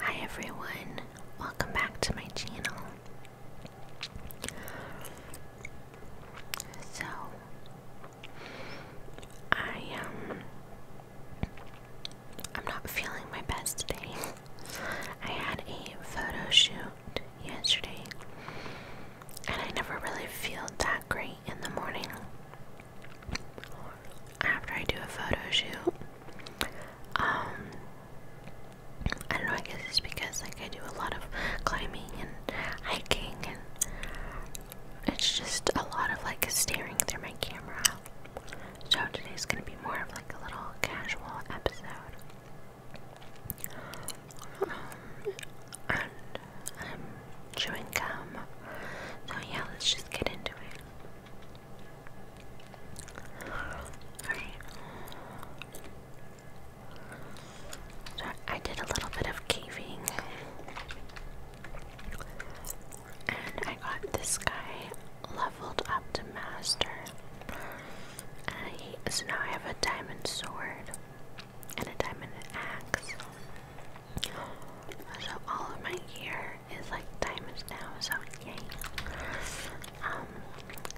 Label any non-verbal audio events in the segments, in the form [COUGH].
Hi everyone, welcome back to my channel. So, I um, I'm not feeling my best today. [LAUGHS] I had a photo shoot yesterday, and I never really feel that great in the morning. After I do a photo shoot, um, I don't know, I guess it's because like I do a lot of climbing and hiking and it's just a lot of like staring through my camera. So today's gonna be more of like a little casual episode. Um, I'm chewing gum. So yeah, let's just get into it. Alright. So I did a little bit of caving. And I got this guy leveled up to master. so now I have a diamond sword and a diamond axe. So all of my gear is like time is now, so yay. Um,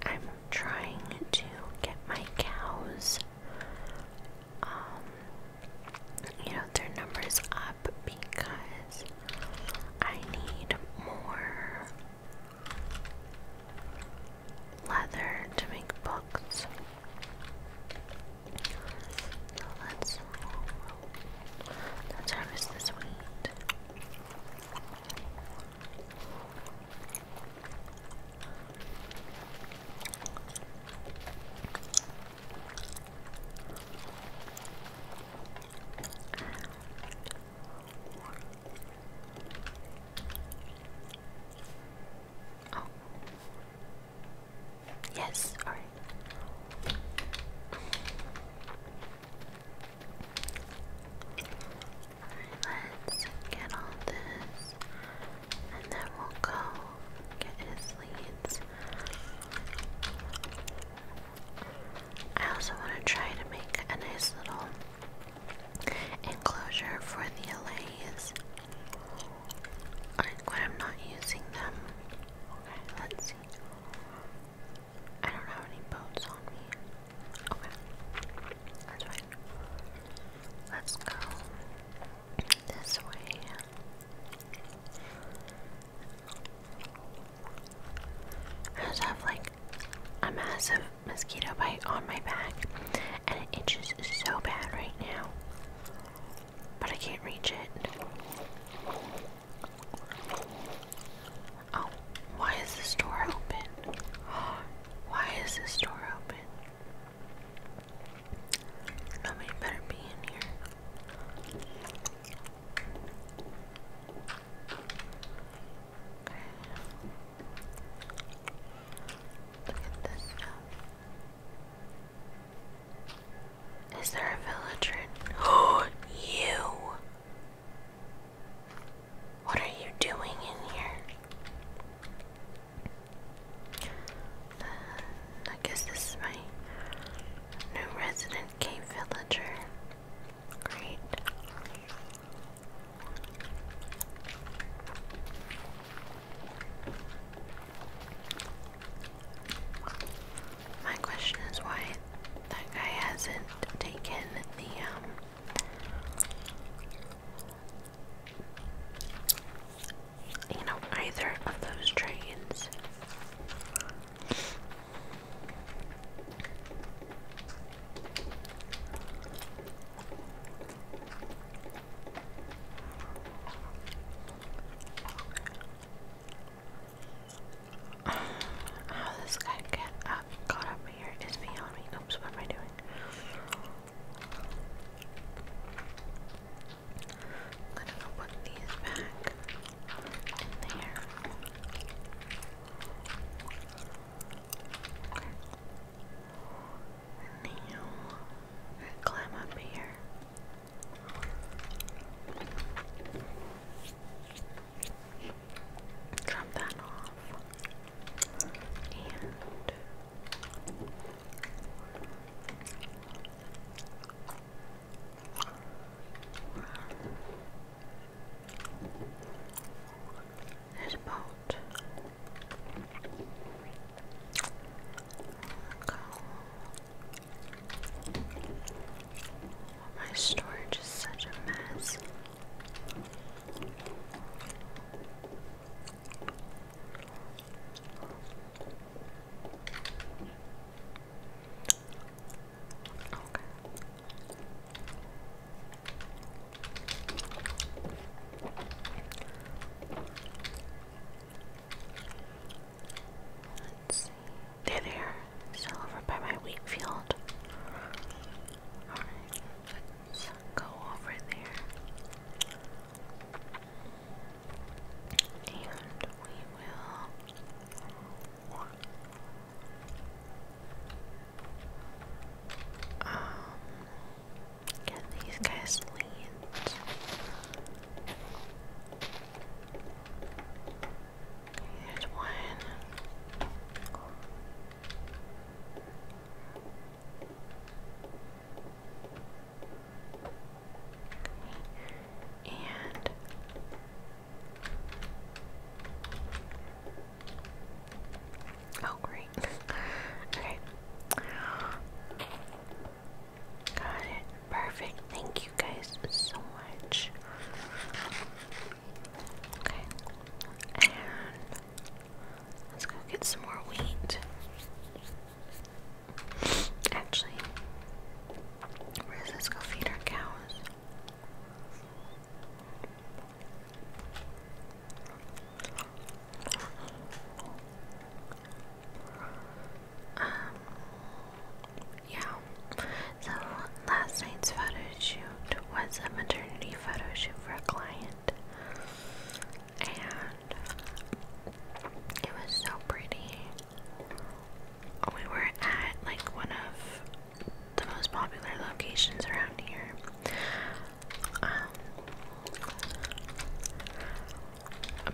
I'm trying to get my cows, um, you know, their numbers up because I need more leather to make books. So let's, let's harvest this wheat. Oh. Yes, all right. Alright, let's get all this and then we'll go get his leads. I also want to try to make a nice little enclosure for the LAs. Like when I'm not using them. Okay, let's see. I don't have any boats on me. Okay. That's fine. Let's go this way. I have like a massive mosquito bite on my back and it itches so bad right now. But I can't reach it. Oh, why is this door open? [GASPS] Why is this door open? Nobody better be in here. Okay. Look at this stuff. Is there a villager? Oh, [GASPS] you! What are you doing in here? Uh, I guess this is my new resident cave villager. Great. My question is why that guy hasn't taken the um you know either of those trains. How this guy get up, got up here is beyond me. Oops, what am I doing? I'm gonna put these back in there. Okay. And now, climb up here drop that off. And um, there's a boat. Go. My storage is such a mess. Okay. Let's see. There, there. Still over by my wheat field. Alright, let's go over there. And we will. Um, get these guys leaned. Here's one. And oh, great. [LAUGHS] okay. Got it. Perfect. Thank you guys so much. Okay. And let's go get some more wheat. Actually, is let's go feed our cows. Um yeah. So last night's photo shoot was a maternity photo shoot for a client, and it was so pretty. We were at like one of the most popular locations around here. Um,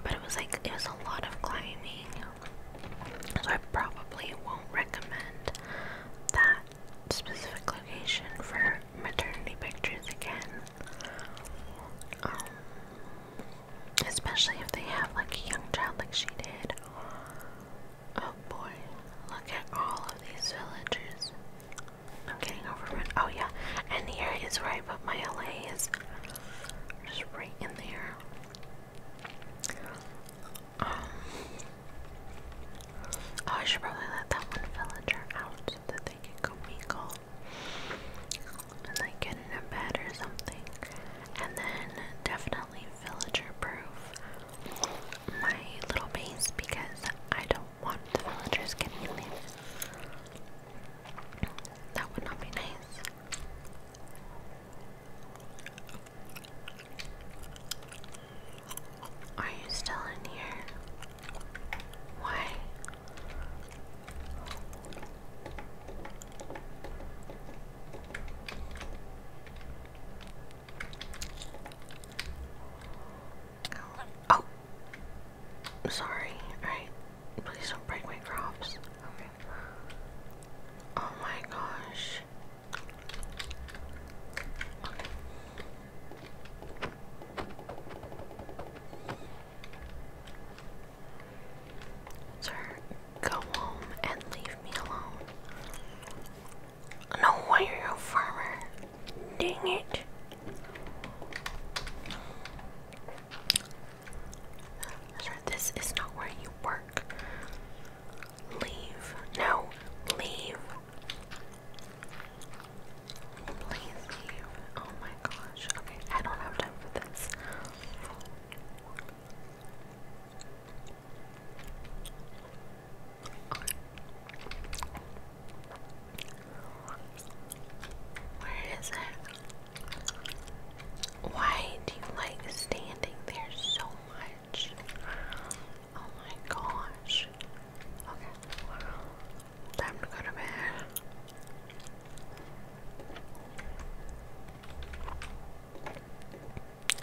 but it was like it was a lot of climbing, so I probably won't recommend that specific location for maternity pictures again. Um, especially if they have like a young child like she did. Oh boy, look at all of these villagers. I'm getting overrun. Oh yeah, and here is where I put my L.A. is Just right in there. Um, oh, I should probably let that one villager out so that they can go mingle and like in a bed or something. And then definitely villager proof my little base because I don't want the villagers getting in there. That would not be nice. Are you still in here? Why? Oh, sorry. All right, please don't break my crops. Okay. Oh my gosh. Sir, go home and leave me alone. No way you're a Dang it. Sir, this is not where you work. Leave. No, leave. Please leave. Oh my gosh. Okay, I don't have time for this. Where is it? Why do you like standing there so much? much. Oh my gosh. Okay. Time to go to bed.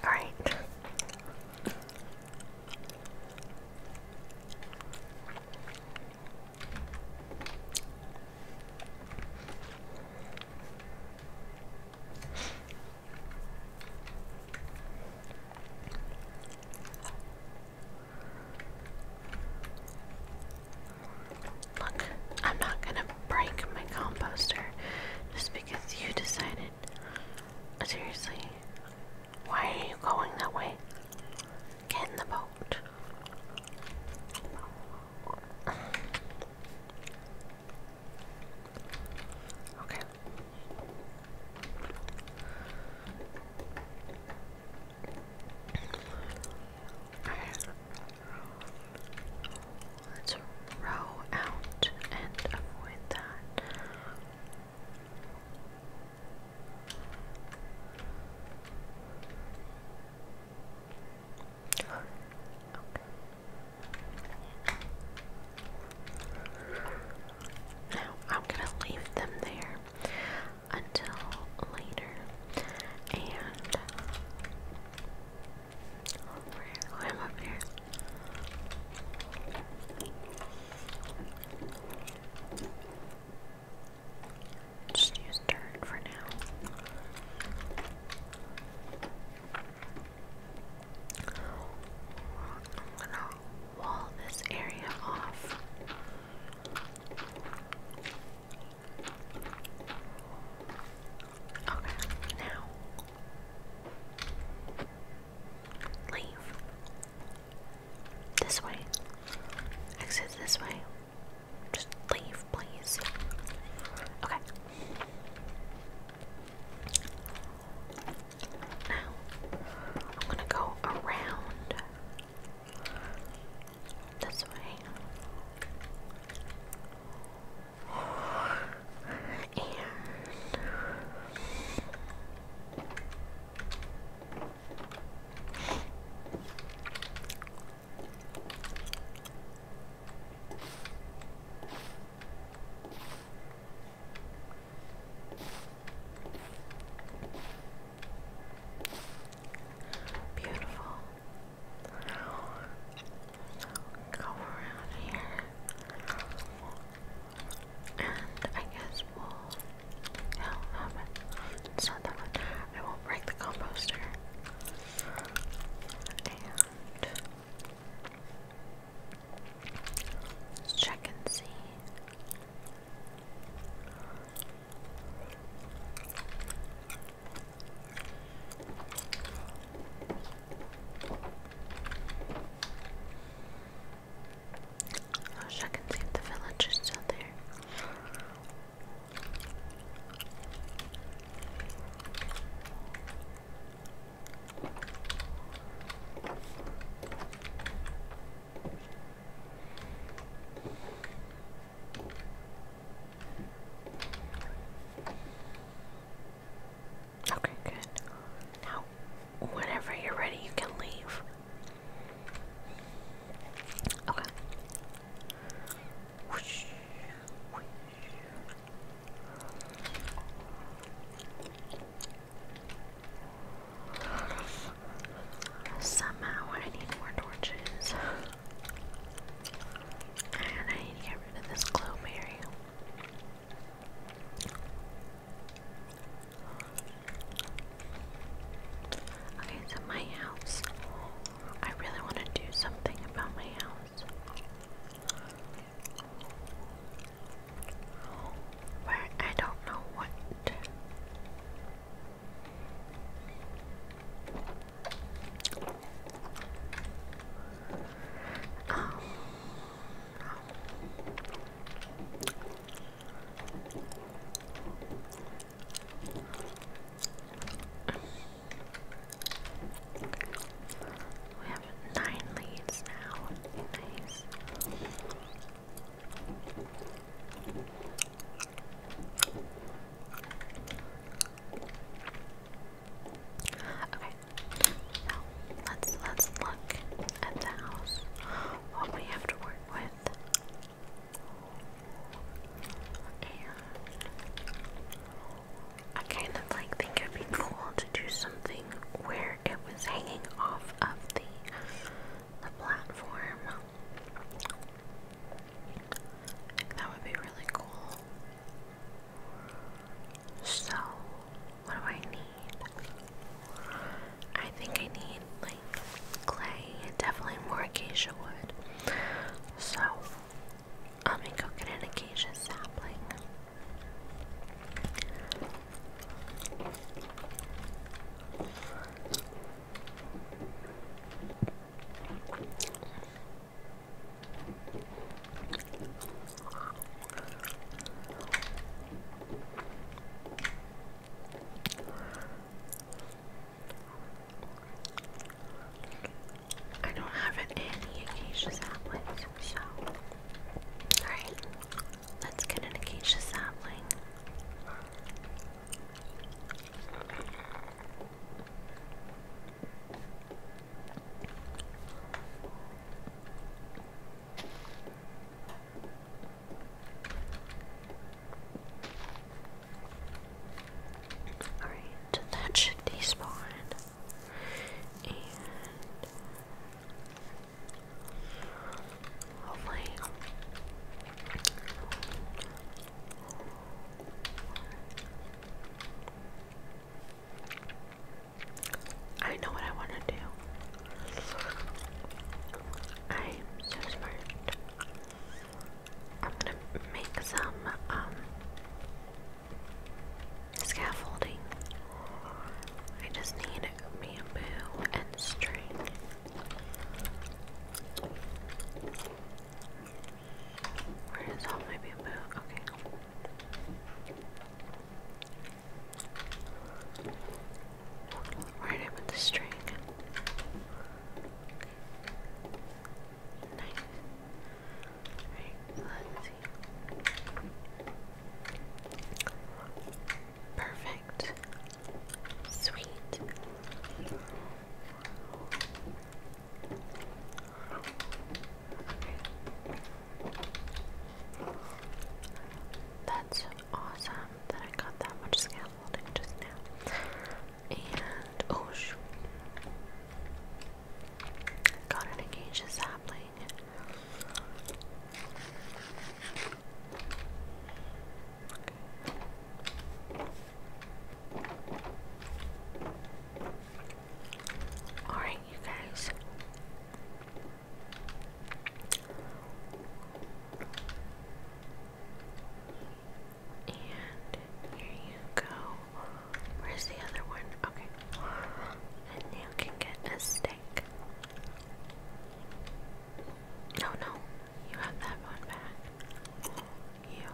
Alright. Look, I'm not gonna break my composter just because you decided. Seriously, why are you going that way? Get in the boat. Okay. Alright. Let's row out and avoid that. Now I'm gonna leave them there until later, and oh, am up here. Just use dirt for now. I'm gonna wall this area off. Okay, now leave this way. Exit this way. Just leave, please. Okay. Now, I'm gonna go around this way. And Beautiful. Go around here. And I guess we'll. No, it's not that one. I won't break the composter. And. Let's check and see. I'll check and see if the village is still there. Okay, good. Now, whenever you're ready, you can leave. Okay. Somehow I need more torches. And I need to get rid of this glowberry. Okay, so my house. I really want to do something about my house where I don't know what. Um, we have nine leads now. Nice. Okay. So let's let's look at the house. What we have to work with. I kind of like think it'd be cool to do something where it was hanging off of the the platform. That would be really cool. So, what do I need? I think I need like clay definitely more acacia wood. So, let me go get an acacia sapling. I don't have any acacia saplings, so. Alright. Let's get an acacia sapling. Alright, that should despawn. And I know what I want to do. I'm so smart. I'm gonna make some, um, scaffolding. I just need bamboo and string. Where is all my bamboo? Okay. Where did I the string? Nice. Right, let's see. Perfect. Sweet. That's awesome that I got that much scaffolding just now. And oh shoot. Got an engaged sapling. Alright, you guys. And here you go. Where's the other one? Okay. And you can get a stick. No, no, you have that one back. You.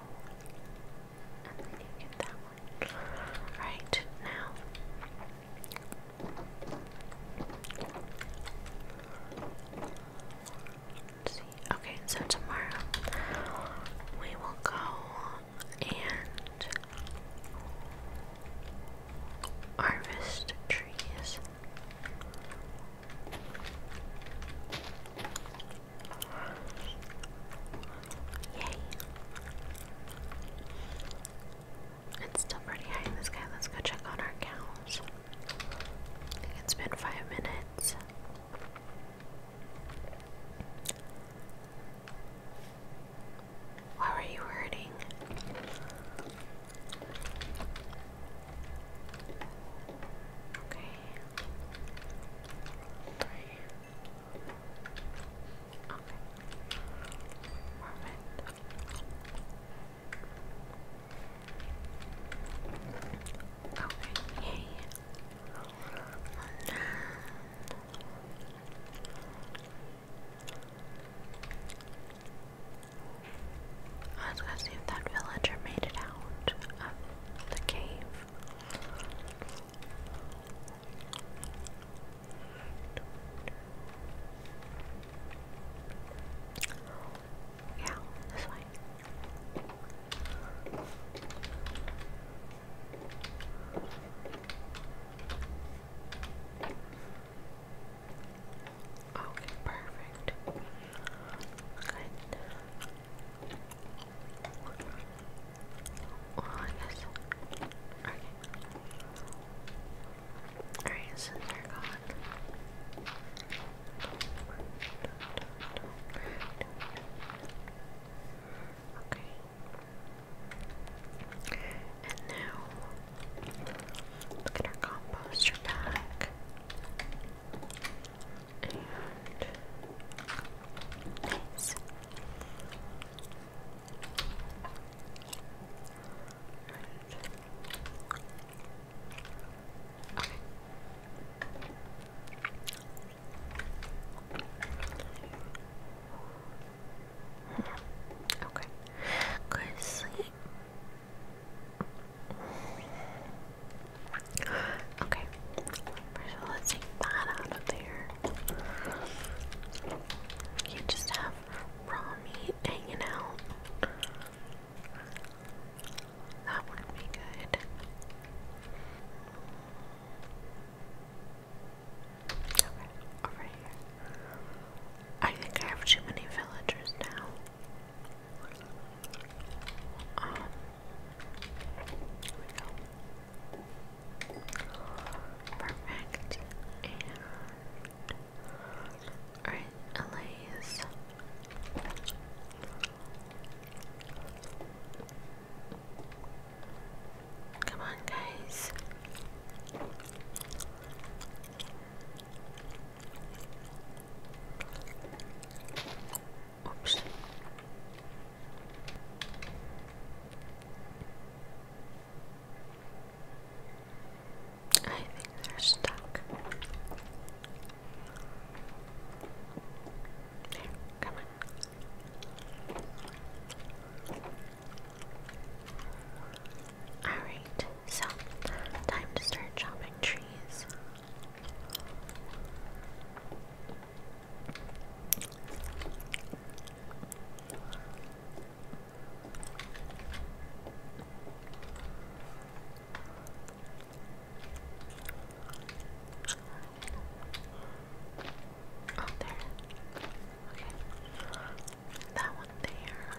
And you get that one. Right, now. Okay, so tomorrow we will go and Harvest trees. Yay. It's still pretty high in the Let's go check on our cows. it's been five minutes. Why are you hurting? Okay. Okay. Perfect. Okay. Yay. I was gonna see if that villager made it out of the cave. Yeah, this way. Okay, perfect. Good. Well, I guess. Okay. Alright, since they're gone. Okay. And now Look at our composter back. Okay. Go to sleep. Okay. let's take that out of there. You just have raw meat hanging out. That would be good. Okay, over here. I think I have too many villagers now. Um, perfect. And alright, Elias. Come on, guys. Oops. I think they're stuck. There, come on. Alright, so time to start chopping trees. Oh, there. Okay. That one there.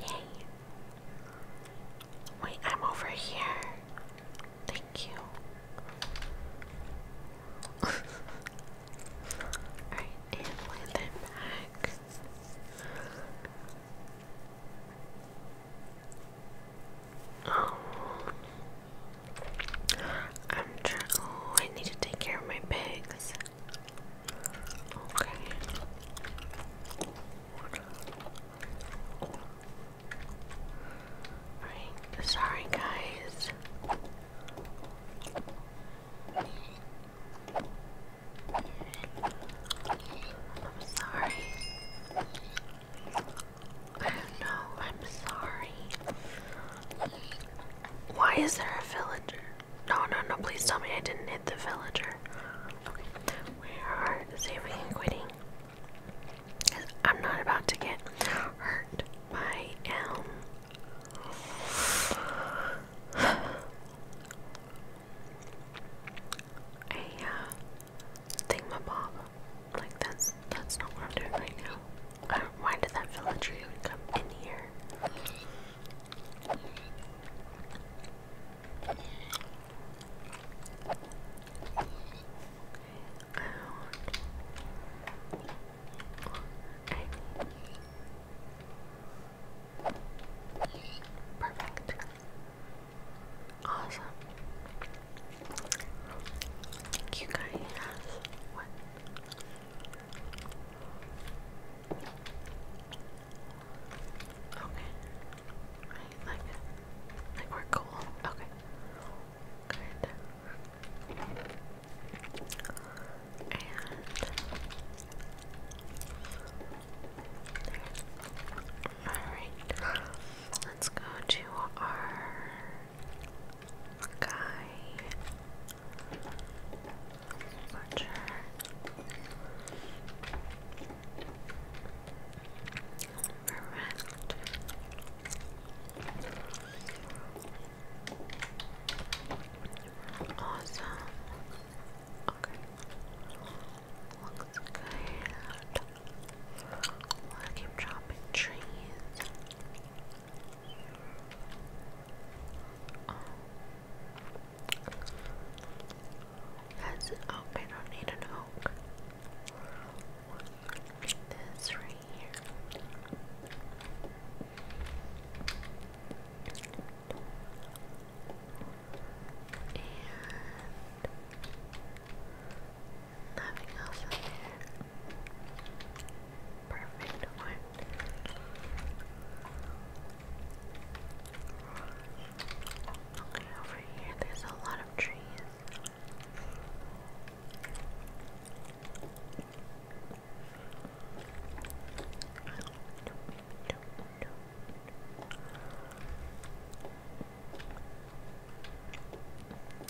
Yay! Wait, I'm over here. Thank you. [LAUGHS] Alright, and land them back. Oh. I'm trying. Oh, I need to take care of my pigs. Okay. sorry guys. I'm sorry. I don't know, I'm sorry. Why is there a villager? No, no, no, please tell me I didn't hit the villager. Okay, where are saving and quitting? I'm not about to get hurt by, um. A, [SIGHS] uh, my thingamabob. Like that's that's not what I'm doing right now. I uh, don't, why did that villager even come in here? Okay, out. Okay. Perfect. Awesome. Thank you Okay. Right, like, like we're cool. Okay. Good. Alright. Let's go to our Guy Watcher Perfect. Awesome. Okay. Looks good. I keep dropping trees. Oh. That's oak. I don't need an oak. This right here. Nothing else in there. Perfect Okay, over here there's a lot of trees.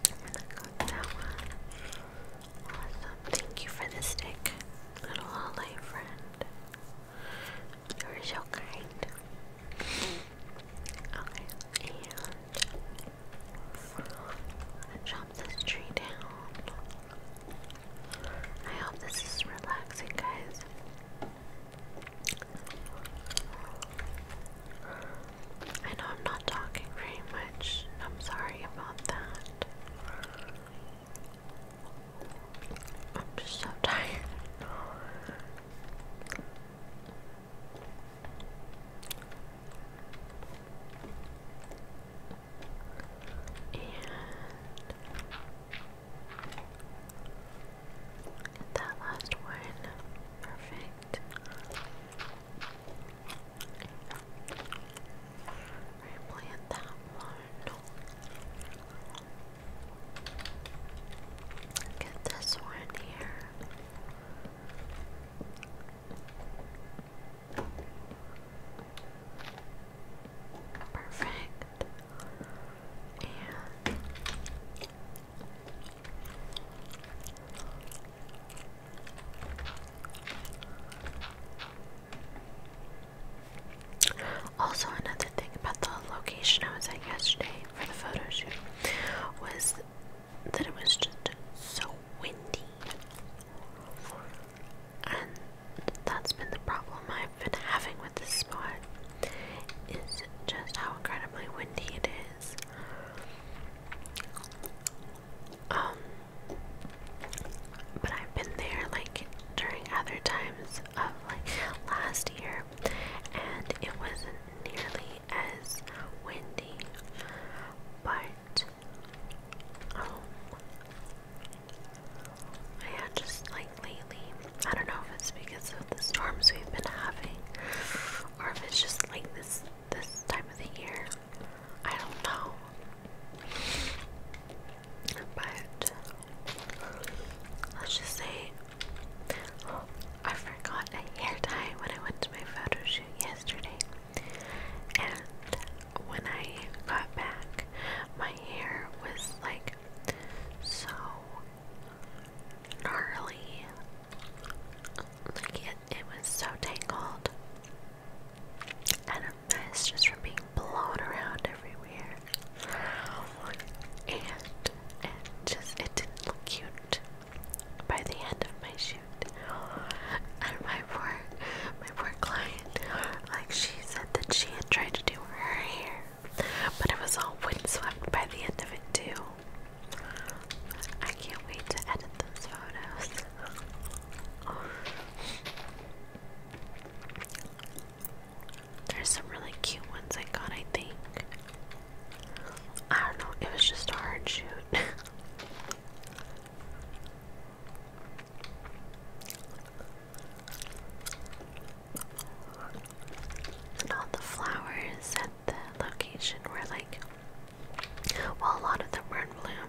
And I got that one. Awesome. Thank you for the stick, little light friend. You're so kind. Okay, and chop this tree down. I hope this is relaxing, guys. I know I'm not talking very much, I'm sorry about that. I'm just so [LAUGHS] tired. And that last one, perfect. Replant that one. Get this one here. Perfect. And also, another thing about the location I was at yesterday for the photoshoot was that it was just so windy. And that's been the problem I've been having with this spot is just how incredibly windy it is. Um, but I've been there like during other times of like last year, and it wasn't nearly as windy, but um, just like lately, I don't know if it's because of the storms we've been having, or if it's just like this this time of the year. I don't know. But let's just say I forgot a hair tie when I went to my photo shoot yesterday. And when I got back, my hair was like so gnarly. Like it it was so tangled. And a mess just from being blown around everywhere. And just it didn't look cute by the end of my shoot. And my poor my poor client, like she said that she had tried to do her hair. But it was all windswept by the end of it too. I can't wait to edit those photos. There's some really cute ones I got, I think. I don't know, it was just a hard shoot. [LAUGHS] and all the flowers and the location where like well a lot of them were in bloom.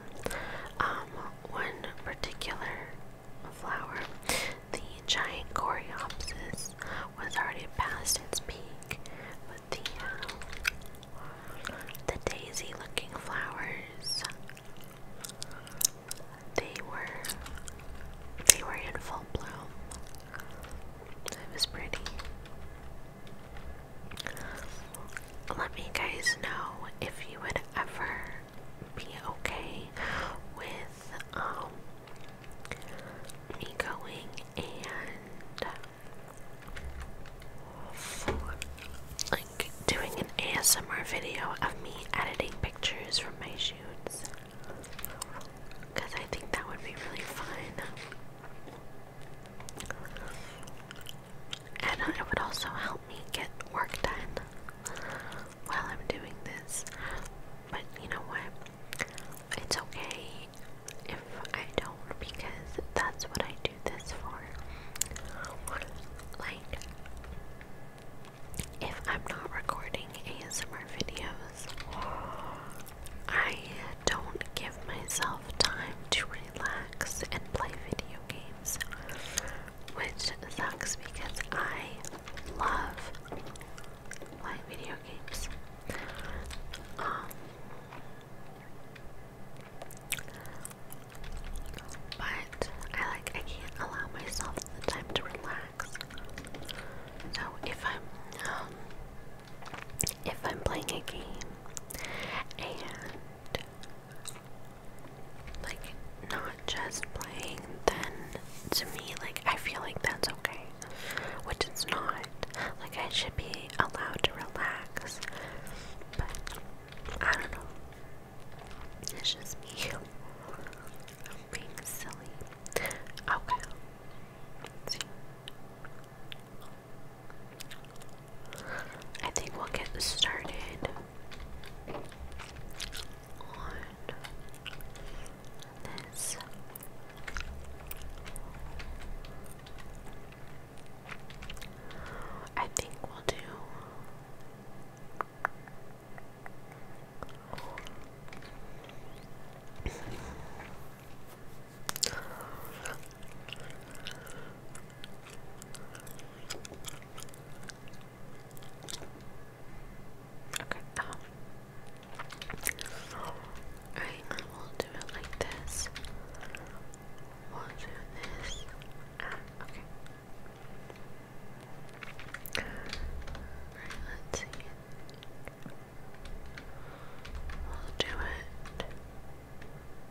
Um one particular flower, the giant coreopsis, was already past its peak, but the um, the daisy looking flowers they were they were in full bloom. It was pretty. Let me guys know if you would ever be okay with um me going and like doing an ASMR video of me editing pictures from my shoots. Cause I think that would be really fun. And it would also help me get work done while I'm doing this. But you know what? It's okay if I don't because that's what I do this for. Like, if I'm not recording ASMR videos, I don't give myself time to relax and play video games, which sucks because I love playing video games. Um, but I like I can't allow myself the time to relax. So if I'm um, if I'm playing a game and like not just playing, then to me, like I feel like that's okay, which it's not. Like I should be allowed to relax, but I don't know. It's just me [LAUGHS] being silly. Okay. see. I think we'll get started on this. I think we'll do. Okay, um, alright, I will do it like this. We'll do this. Um, okay. Alright, let's see. We'll do it.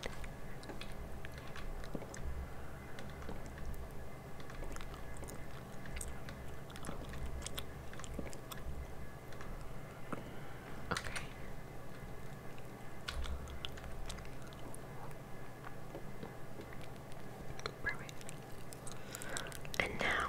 Okay. Perfect. And now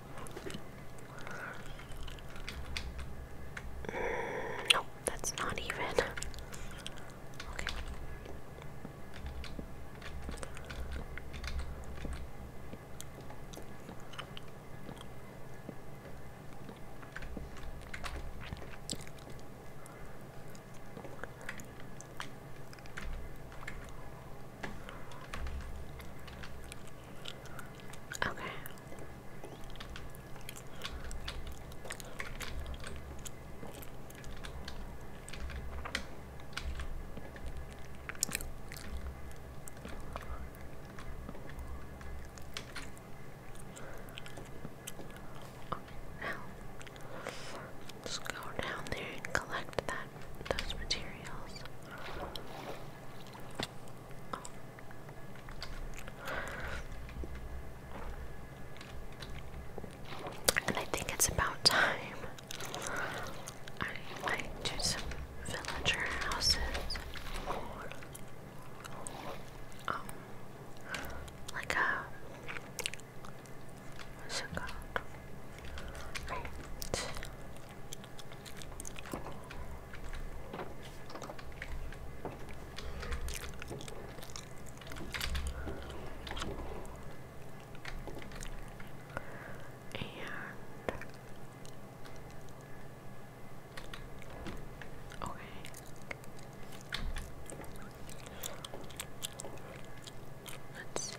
Mm, no, that's not even. [LAUGHS] Okay. Now, let's go down there and collect that those materials. And I think it's about time I do some villager houses. Um, like a what's it called? And okay. Let's see.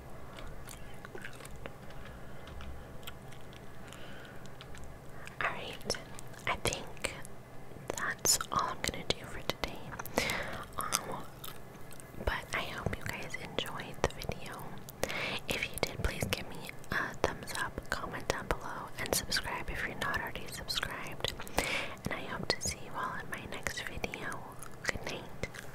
Alright, I think that's all I'm gonna do for today. Um, but I hope you guys enjoyed the video. If you did, please give me a thumbs up, comment down below, and subscribe if you're not already subscribed. And I hope to see you all in my next video. Good night.